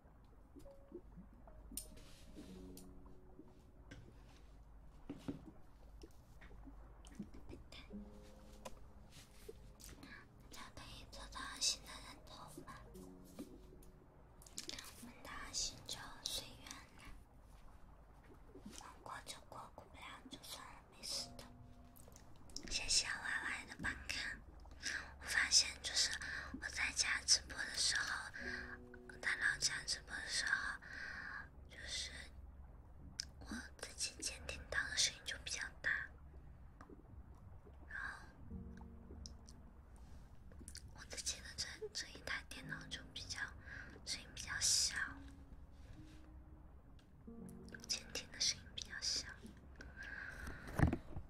可以得到新的人头我们打新就随缘了，能过就过，过不了就算了，没事的。谢谢歪歪的帮看。我发现，就是我在家直播的时候，电脑家直播的时候，就是我自己监听到的声音就比较大，然后我自己的这这一台电脑就比较声音比较小，监听的声音比较小。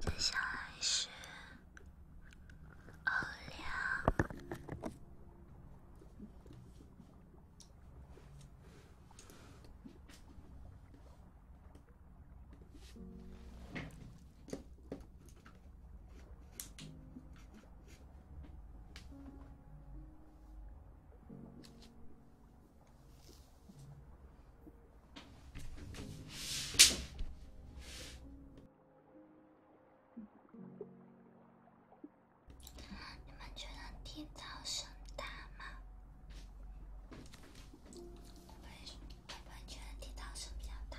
接下来是奥利奥。你们觉得地道声大吗？会不会觉得地道声比较大？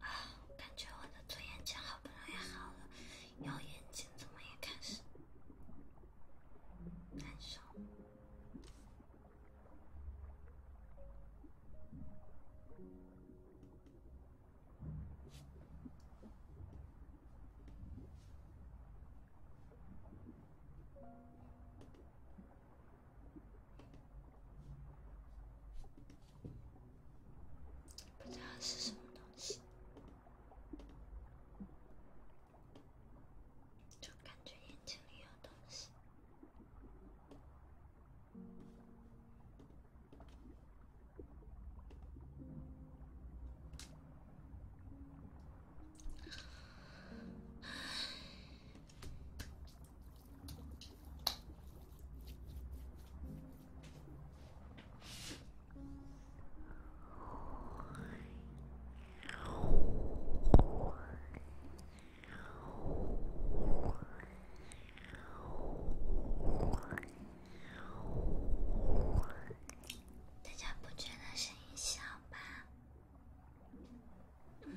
啊，感觉我的左眼睛好不容易好了，右眼睛怎么也开始难受？不知道是什么东西，就感觉眼睛里有东西。大家不觉得声音小吧？嗯。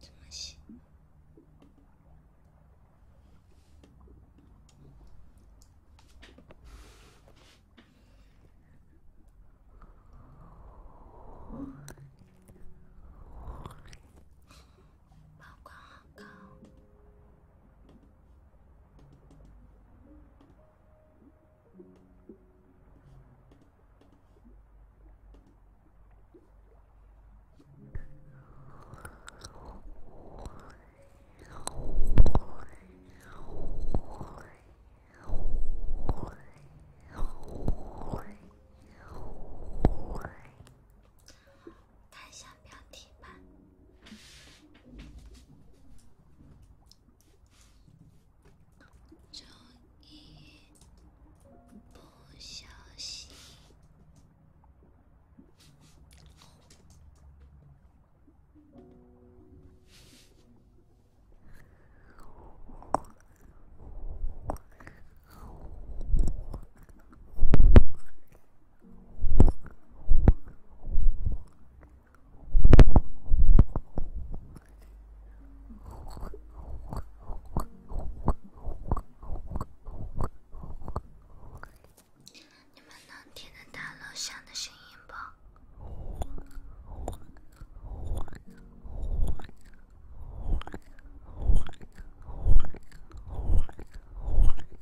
怎么洗？好看，好看。太像标题吧。周一，不休息。你们能听得到楼上的声音不？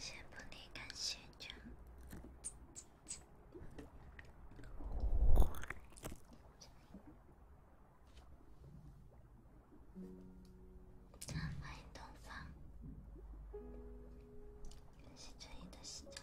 谢不离，感谢陈，欢迎东方，感谢陈毅的洗澡。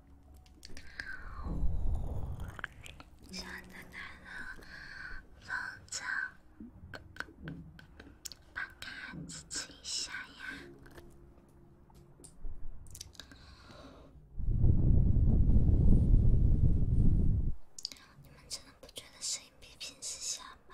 小哥哥，帮个支持一下呀！你们真的不觉得声音比平时小吗？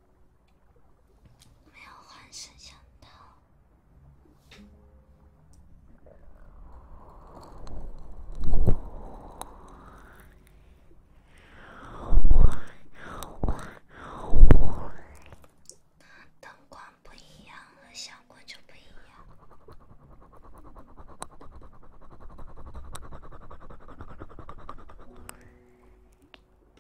没有换摄像头，灯光不一样，效果就不一样。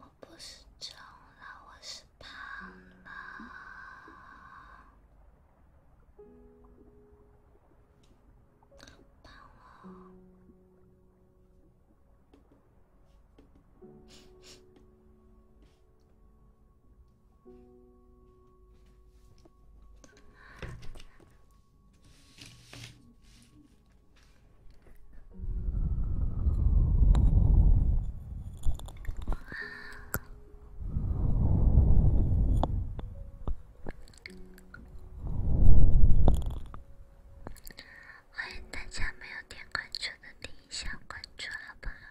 我不是重了，我是胖了，胖了。欢迎大家没有点关注的，点一下关注好不好？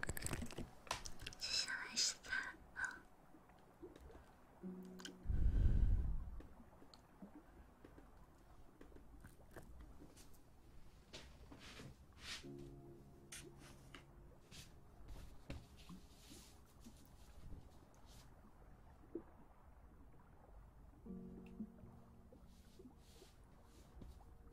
接下来是他。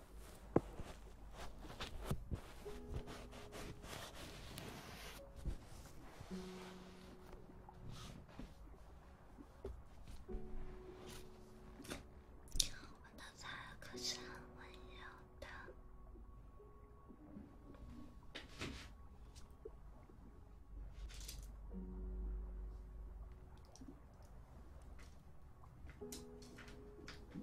我的他可是很温柔的。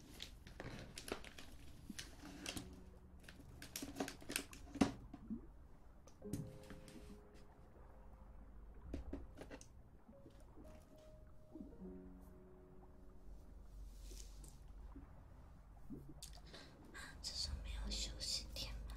啊，至少没有休息天吧。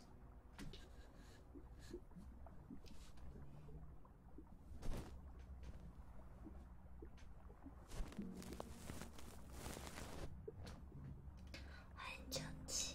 欢迎九七。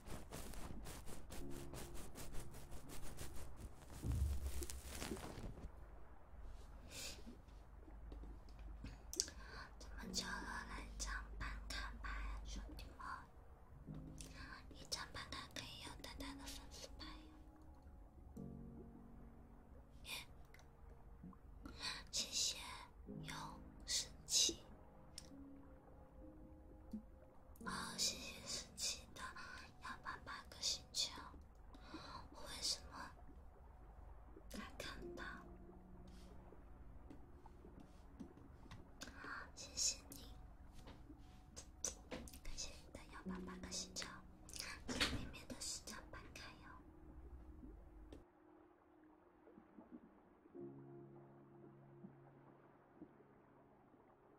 怎么就落来张办卡牌，兄弟们！一张办卡可以有淡淡的粉丝牌哟！耶，谢谢，有神器。哦，谢谢十七的幺八八个星球，我为什么没看到？好，谢谢你，感谢你的幺八八个星球，里面的十张翻开哟。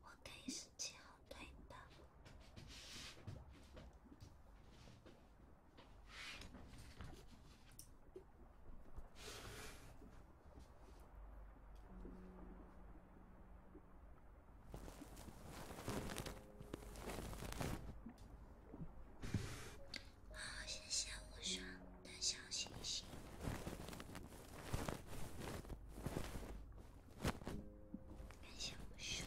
我可以是七号队的。好，谢谢无双的小星星，感谢无双。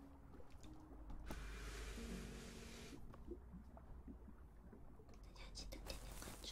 大家记得点点关注。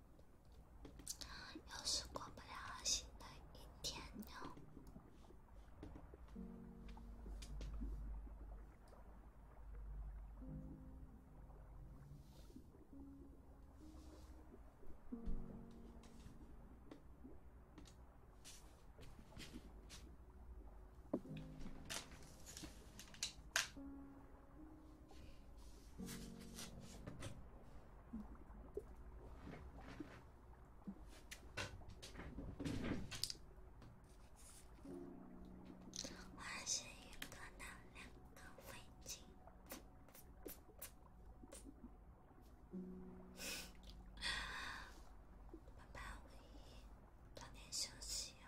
要是过不了新的一天哟。唤醒云歌的两个水晶。爸爸，五一早点休息哦。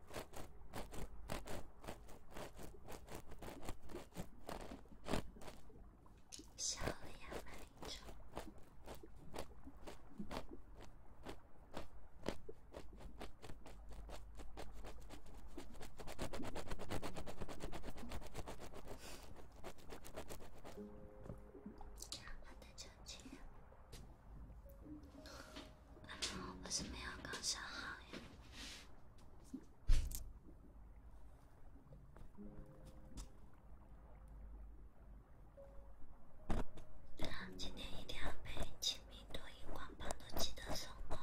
笑了呀，马林哲。好的，再见。我怎么样刚收好呀？今天一定要把清明多荧光棒都记得收好。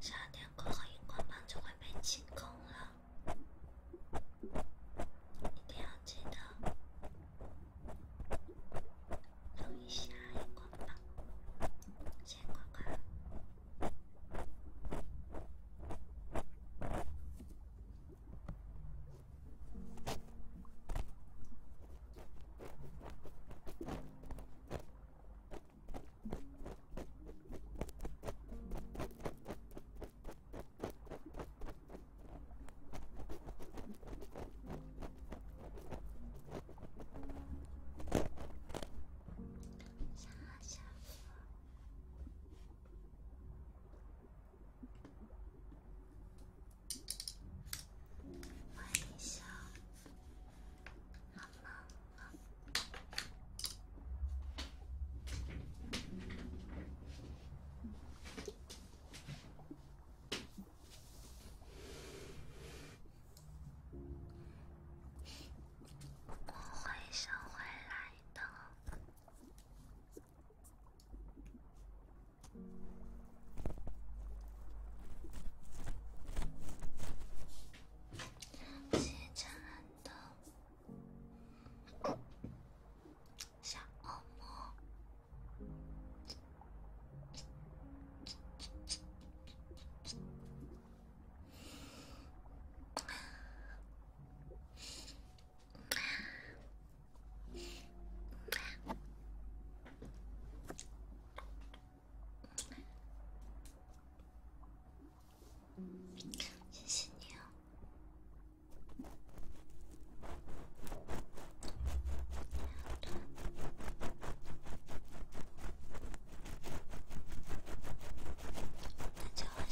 十二点过后，荧光棒就会被清空了，一定要记得用一下荧光棒，先过关。小小，微笑。我会收回来的。谢长安的小恶魔。谢谢你啊！大家晚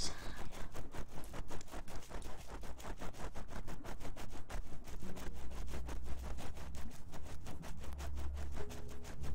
上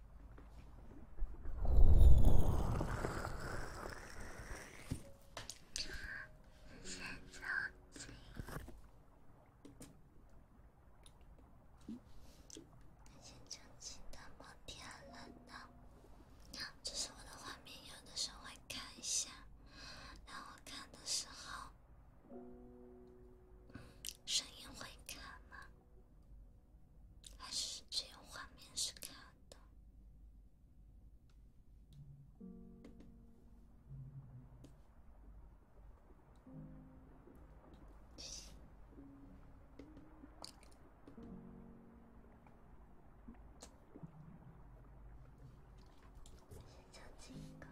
先走起，先走起，那么甜了呢。这是我的画面，有的时候会看一下。当我看的时候，声音会卡吗？还是只有画面是看的，先教这个。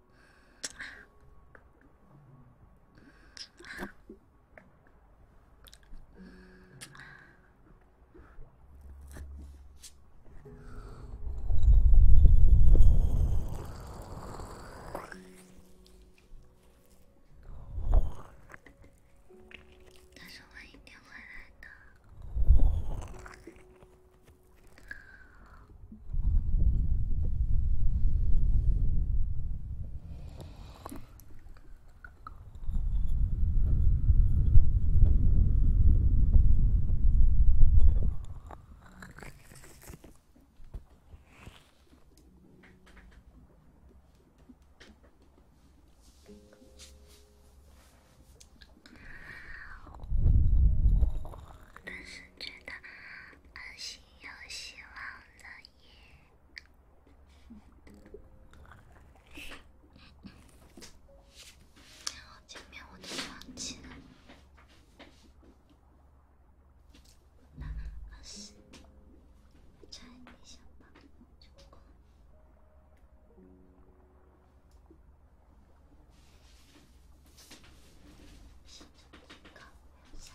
他说：“他一定回来的。”但是觉得安心又希望。那也，然后前面我都忘记了，那二十，猜一下吧，结果，先找第一个，下。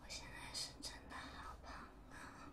我现在是真的好胖啊！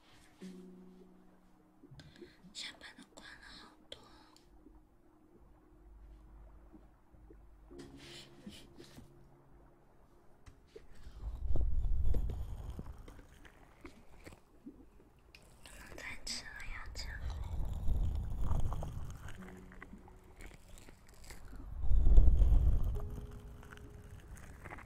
下班了，关了好多。太迟了，要吃饭。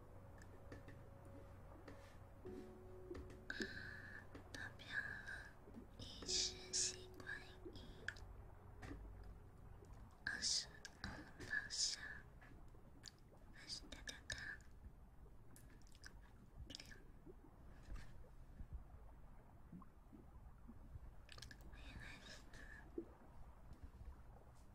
投票，一是习惯一，二是嗯，报销，二是哒哒哒，欢迎 S。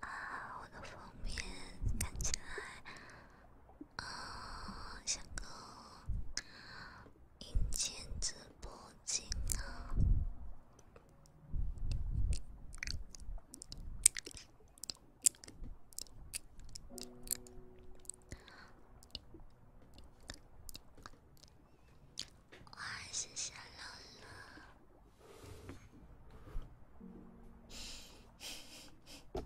啊，我的封面看起来，啊，像个硬件直播间啊。哇，谢谢乐乐，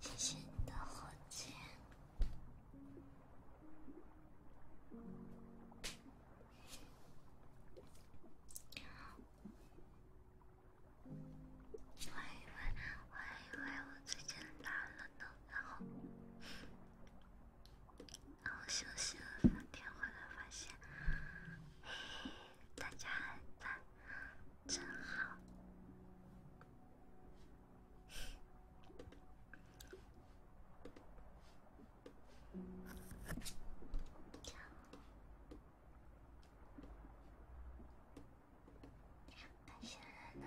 谢谢你的火箭。我还以为我还以为我最近懒了呢，然后。我休息了三天，回来发现，嘿，大家还在，真好。接下来呢？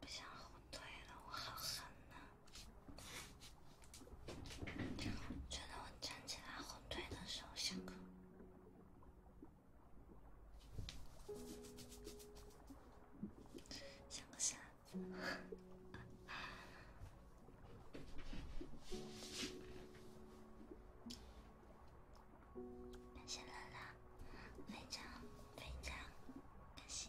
不想后退了，我好狠呢！觉得我站起来后退的时候想哭，想个啥？感谢乐乐，非常非常感谢。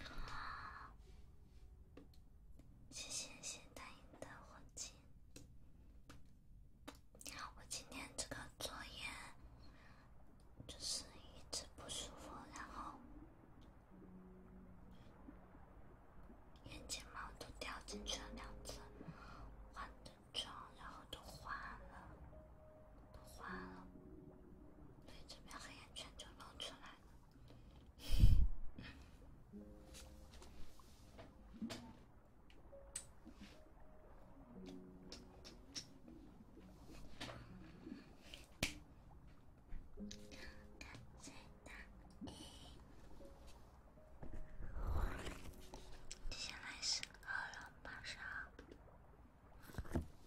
好，谢谢谢大英的黄金。我今天这个作业就是一直不舒服，然后眼睫毛都掉进去了两次，化的妆然后都花了，都花了，所以这边黑眼圈就露出来了。三、二、一，接下来是《饿了么》上。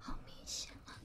好明显了。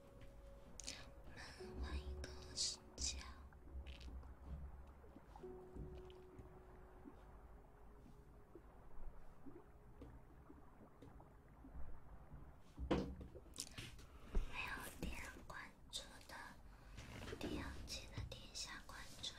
我们玩一个世界。没有点关注的，一定要记得点下关注哟。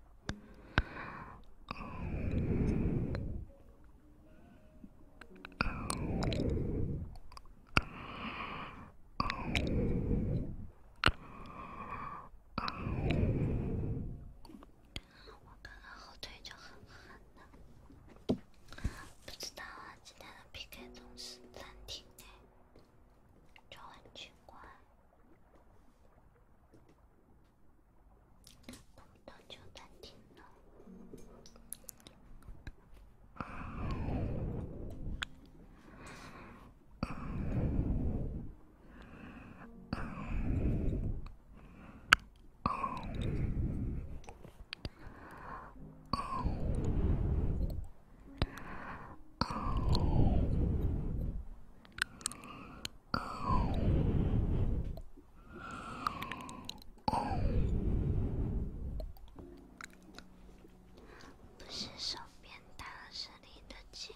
我刚刚后腿就很寒的，不知道啊。今天的 PK 总是暂停哎，就很奇怪。不动就难听了。不是手变大了，是离得近。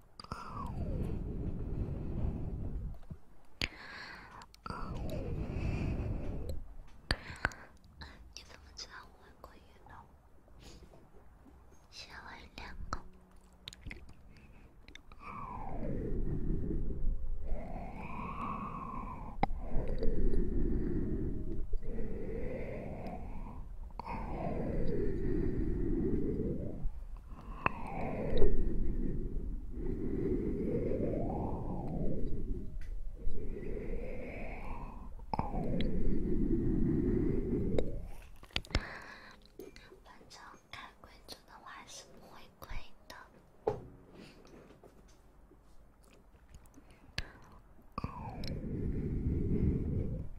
你怎么知道我会鬼音了？先喂两口。反正开柜子的话是不会贵的。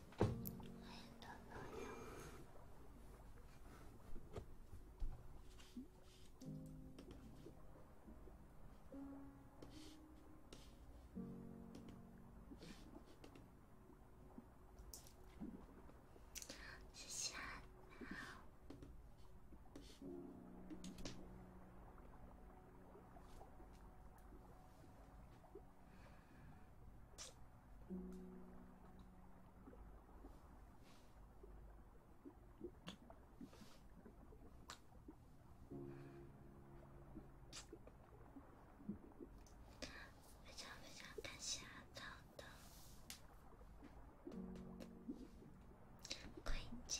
欢迎的朋友，谢谢。非常非常感谢阿草的回家。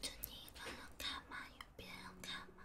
就你看了看吗？有别人看吗？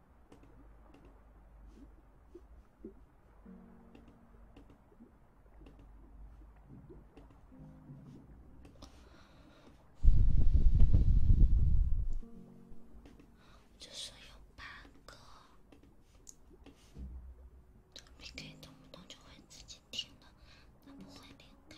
就说有八个，没开动不动就会自己停了，它不会连开。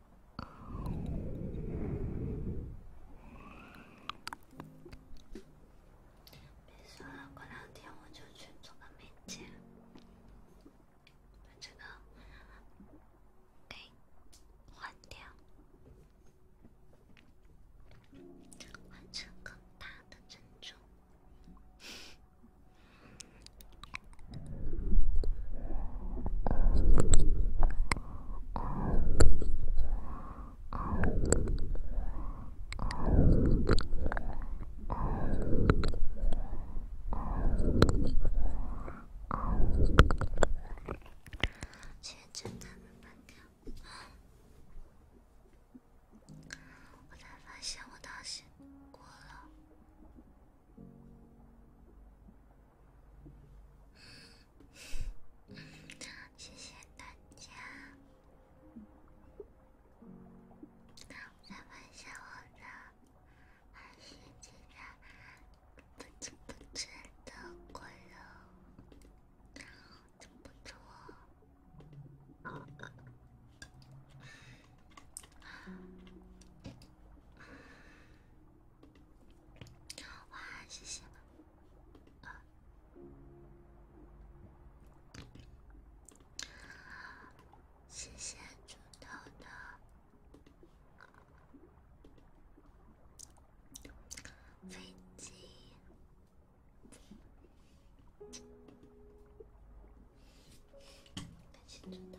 别说了，过两天我就去做个美甲，把这个给换掉，换这个大的珍珠。现在真的慢掉了，我才发现我到线过了。谢谢大家！再问一下我的二十级的不知不知的快乐，还不错。哇，谢谢！啊，谢谢猪豆豆飞机，感谢猪豆。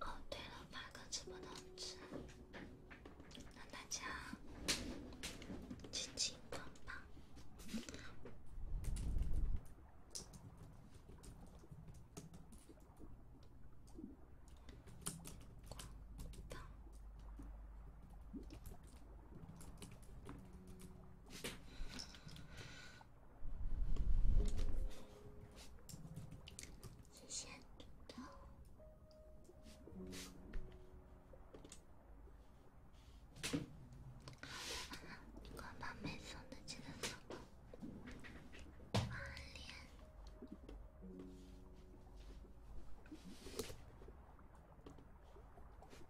哦，对了，发个直播通知，让大家轻轻碰碰。谢谢。你快把没送的记得送。把脸。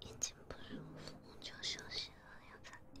眼睛不舒服，就休息了，要咋地？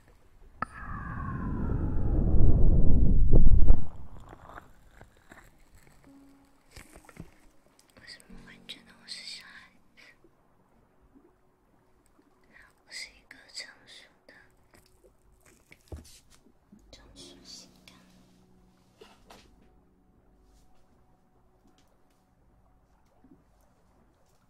为什么会觉得我是小孩子？我是一个成熟的、成熟性感。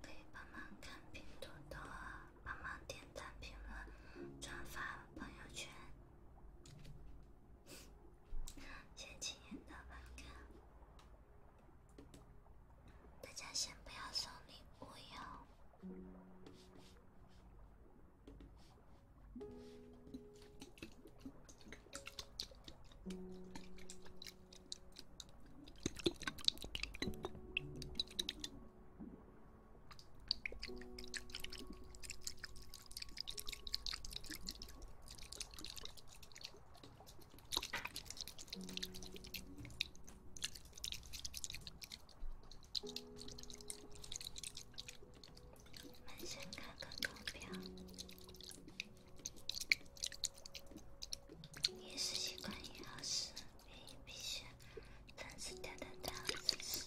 可以帮忙看评论多，帮忙点赞、评论、转发朋友圈，先亲人的朋友看。大家先不要送礼物哟。门神卡根图标，饮食习惯也要是，必须坚持调的到姿势。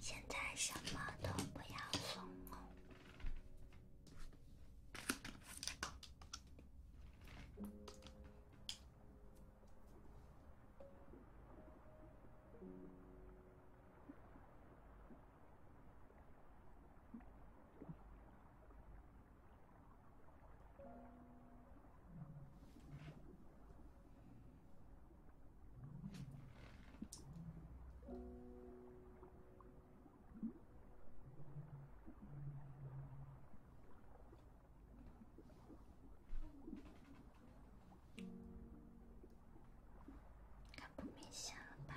现在什么都不要送哦。看不明显了吧？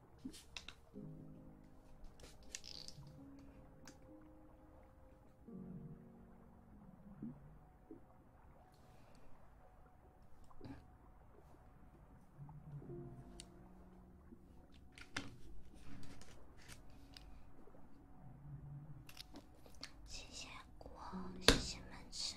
谢谢果，谢谢们吃。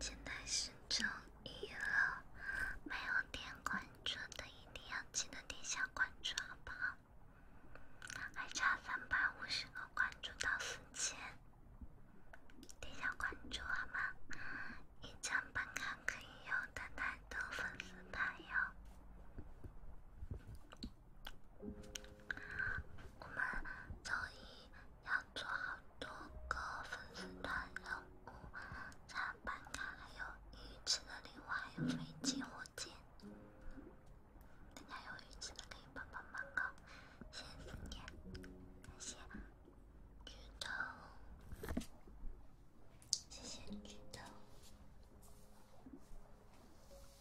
现在是周一了，没有点关注的一定要记得点下关注，好不好？还差三百五十二关注到四千，点下关注好吗？一张本卡可以用，等待豆粉丝朋友。我们周一要做好多个粉丝团任务，像办卡、还有鱼翅的礼物，还有飞机、火箭。大家有鱼翅的可以帮帮忙哦！辛苦你，感谢举豆，谢谢举豆。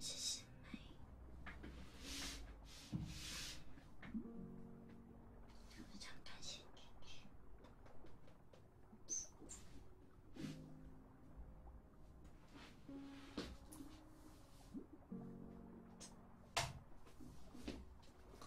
谢谢美，非常感谢。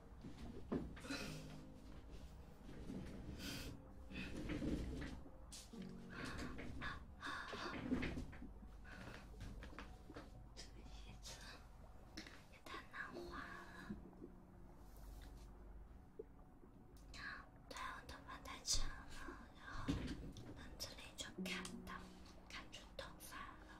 这个椅子也太难滑了。对，我头发太长了，然后凳子里就看到看出头发了。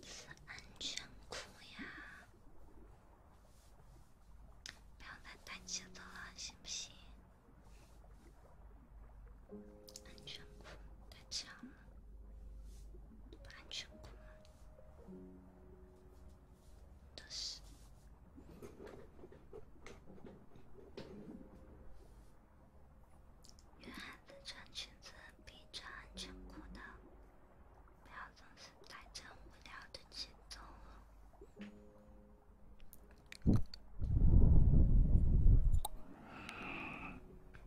是安全裤呀！不要再抬脚了，行不行？安全裤太强了，不安全裤吗？都是。女孩子穿裙子比穿安全裤的，不要总是太装无聊的节奏。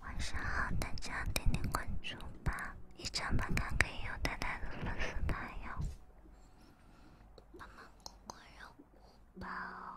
晚上好，大家点点关注吧，一七八八六幺六六四八幺，帮忙过过任务吧。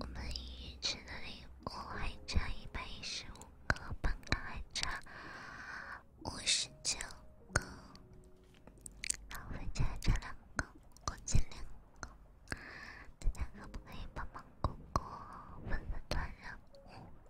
我们英语群的礼物还差一百一十五个，本卡还差五十九个，然后本卡还差两个，共计两个。大家可不可以帮帮果果，帮帮团呀？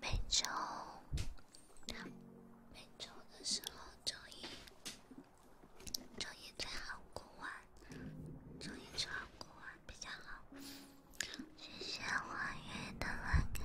每周，每周的时候周一。终于穿好过完，终于穿好过完比较好。谢谢我月的老公。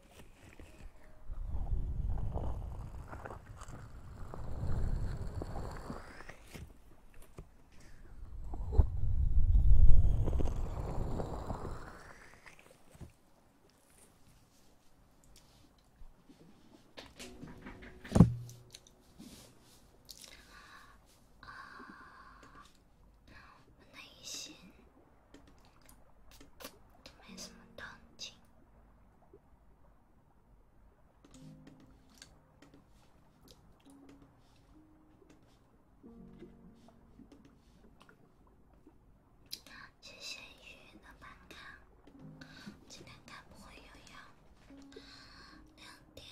啊，耐心，都没什么动静。谢谢雨的板卡，今天看不会又要两点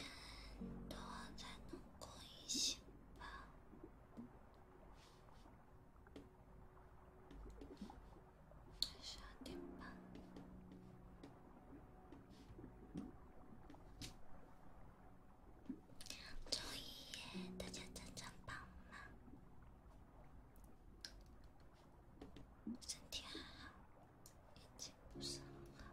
多才能过一星吧。十二点半，周一，大家正常上班，身体还好，一切不是很好。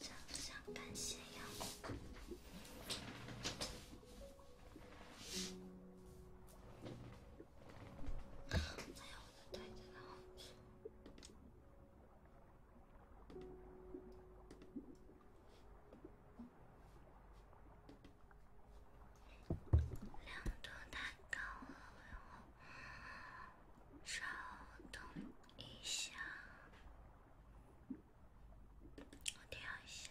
想不想看夕阳？没有我的袋子呢。亮度太高了，稍等一下。我调一下。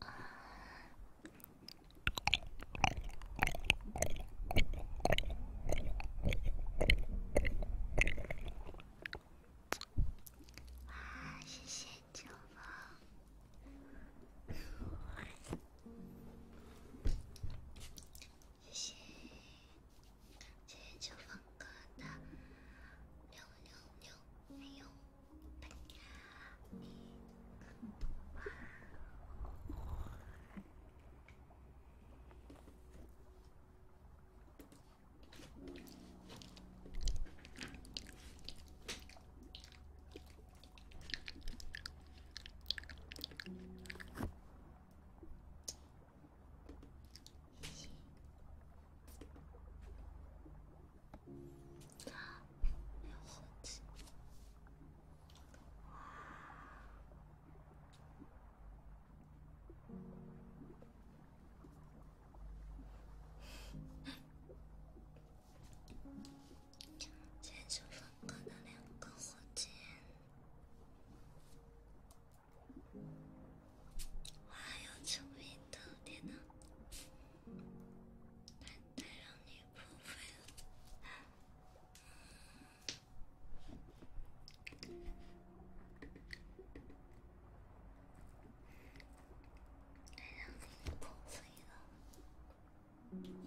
哇，谢谢九毛，谢谢。谢谢九方哥的六六六，还有本呀！火箭。建筑风格的两个火箭。我还要证明特点呢，太让你破费了，太让你破费了。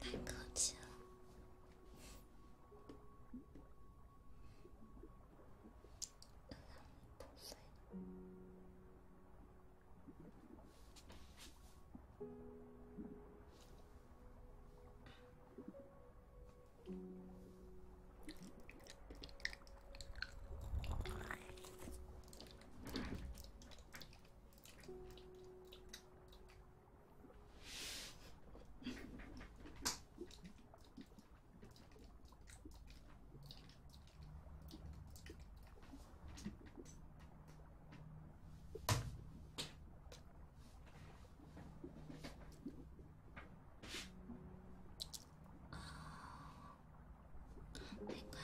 太客气了，都碎了。哦，没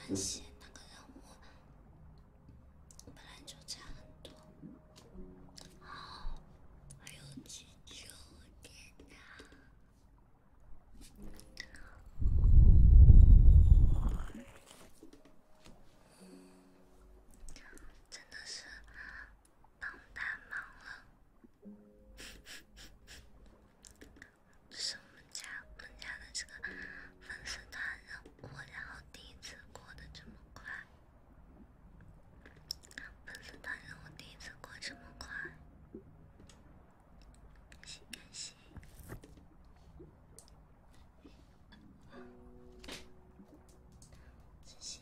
关系，那个让我。本来就差很多，还有急救电话，真的是帮大忙了，是我们家我们家的这个。粉丝团日过，然后第一次过得这么快。粉丝团日我第一次过这么快，感谢感谢，自信，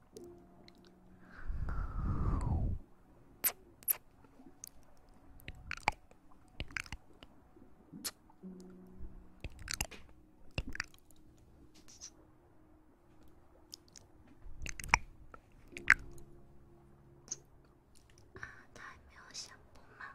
大名シャンポマン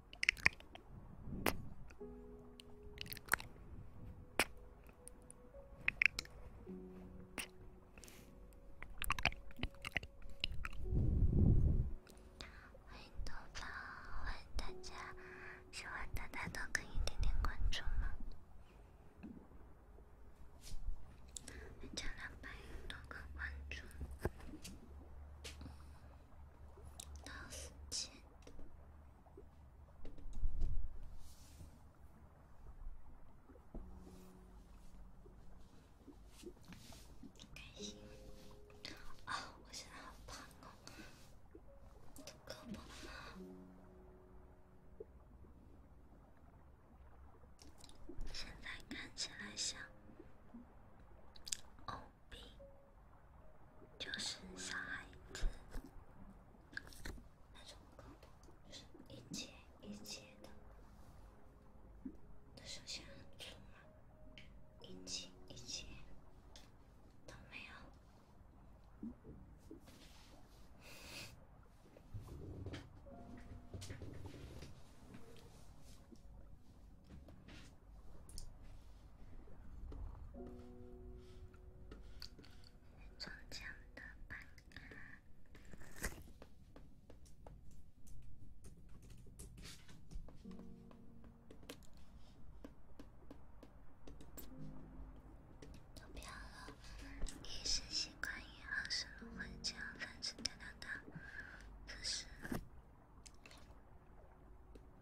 欢迎豆宝，欢迎大家！喜欢大家的可以点点关注吗？加两百多个关注到四千。开心啊！我现在好胖哦，我的胳膊起来像哦。皮就是小孩子那种狗，就是一节一节的，它首先很粗嘛，一节一节都没有。中奖的吧？投票了，一时习惯于二十路混交，三次得到它，可是。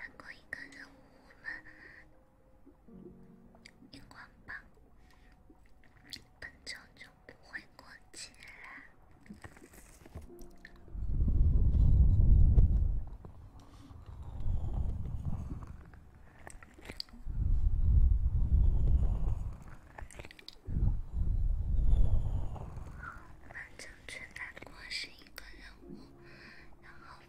放过一个任务，我们荧光棒本周过是一个任务，然后。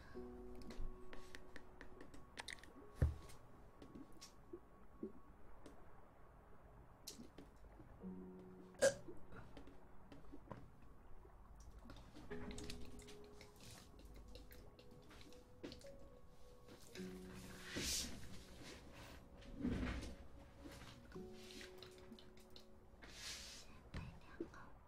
哎呀！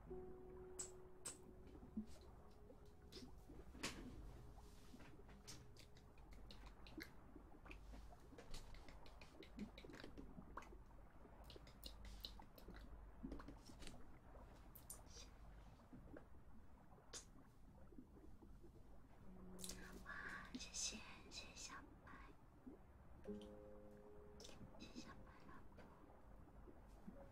哇，谢谢谢谢小白，谢谢小白老婆。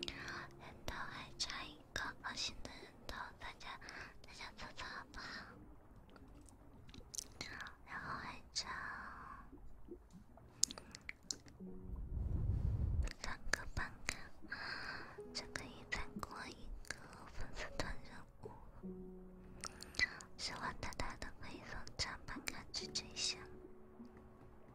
人头还差一个五星的人头，大家大家凑凑好不好？然后还差三个半卡，就可以再过一个粉丝团任务，希望大家都可以送张半卡去追星。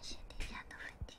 先添加到附近。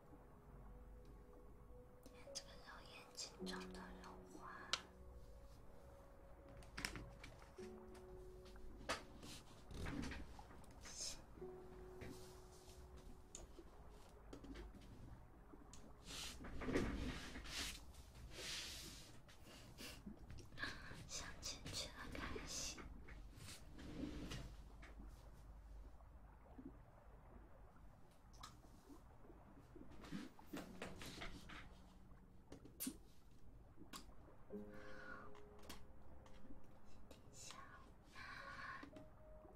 这个肉眼睛中的肉花，想进去很开心。殿下，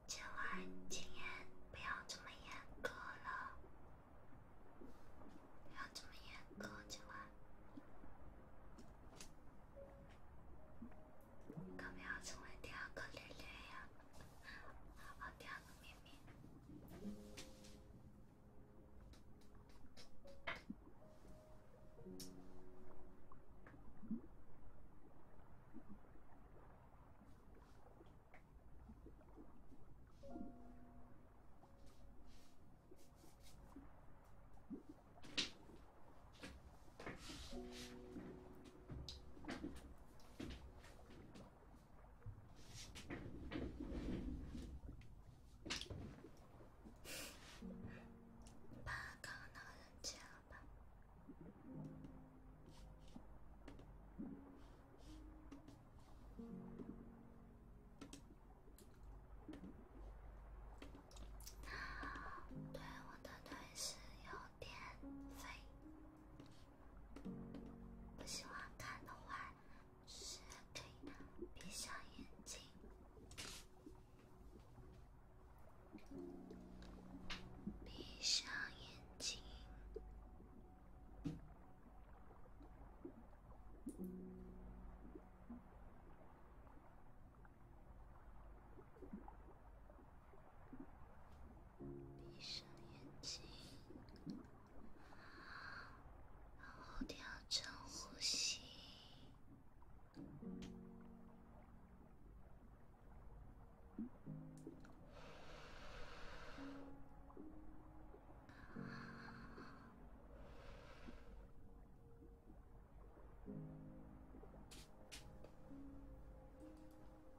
今晚禁言，不要这么严格了，不要这么严格，今晚。我们要成为第二个莉莉娅，第二个明明。把卡拿人去了吧。对，我的腿是有。别飞！不喜欢看的话，是可以闭上眼睛，闭上眼睛。闭上眼睛，啊，然后调整呼吸。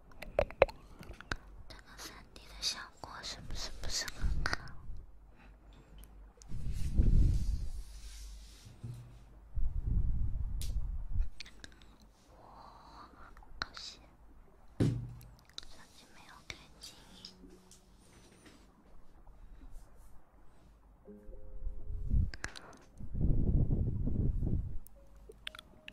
这个三 D 的效果是不是不是很好？我好像也没有看清。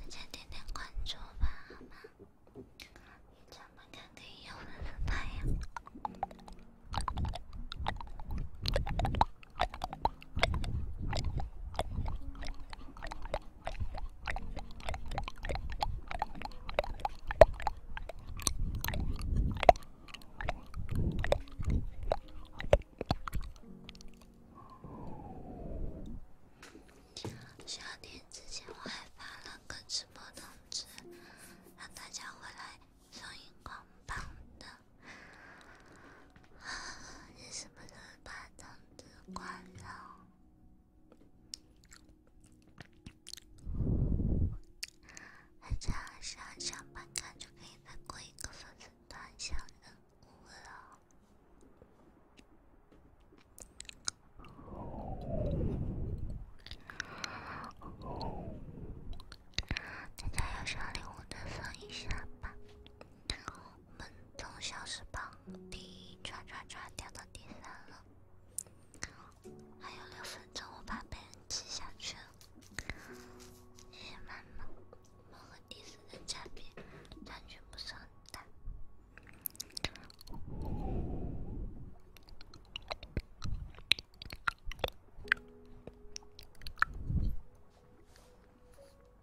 大家点点关注吧，好吗？夏天之前，我还发了个直播通知，让大家回来充荧光棒的。你什么时候把灯关了？大家上上班卡就可以再过一个粉丝团小礼物了。大家有小礼物的送一下吧。我们从小时榜第一刷刷刷掉到第三了，还有六分钟我把别人挤下去，谢谢妈妈。猫和第四的差别差距不是很大。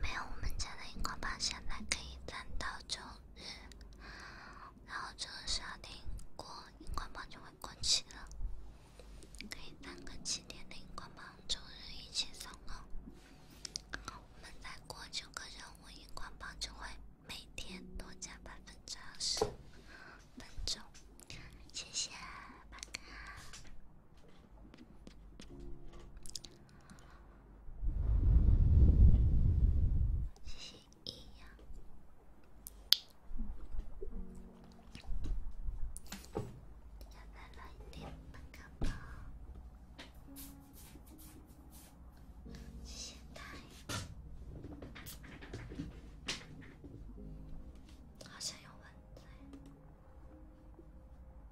没有，我们家的荧光棒现在可以攒到周日，然后周日那天过荧光棒就会过期了，可以攒个七天的荧光棒，周日一起送哦。我们再过九个任务，荧光棒就会每天多加百分之二十分钟，谢谢拜拜。谢谢依呀，再来一点，不干嘛？谢谢大，好像有蚊子。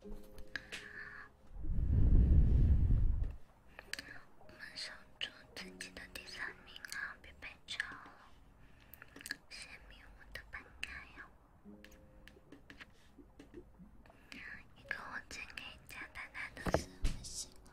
我们守住自己的第三名啊，贝贝。超了，谢明，我的本该呀，你给我进给蒋丹丹的私微信了。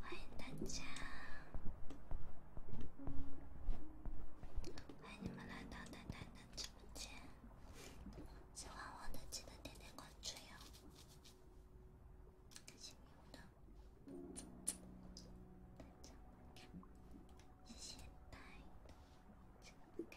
欢迎大家，欢迎你们来到奶奶的直播间。喜欢我的记得点点关注哟，开心的，大家。谢谢大爱的这个。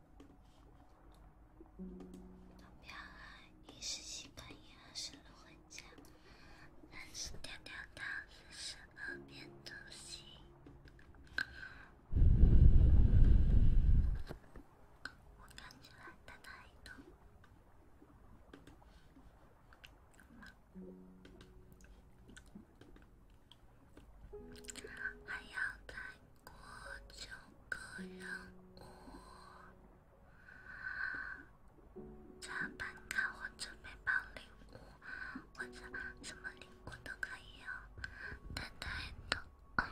目标二：一十七根烟，二十六块钱，三十条条，到四十二遍都行。我感觉他太痛。还要再过九个任务，加板卡或者背包礼物，或者什么礼物都可以哦。太难了，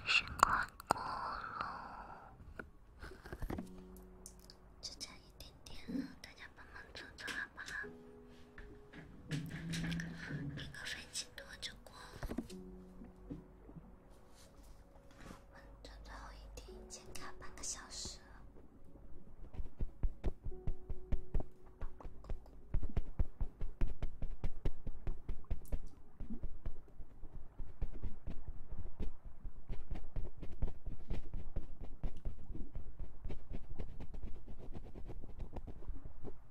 心快哭了，就差一点点大家帮忙做做好吗？给个飞机。多着过。这最后一天，一千卡，半个小时。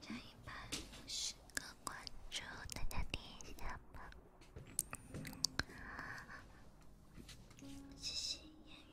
加一百五十个关注，大家点一下吧，谢谢。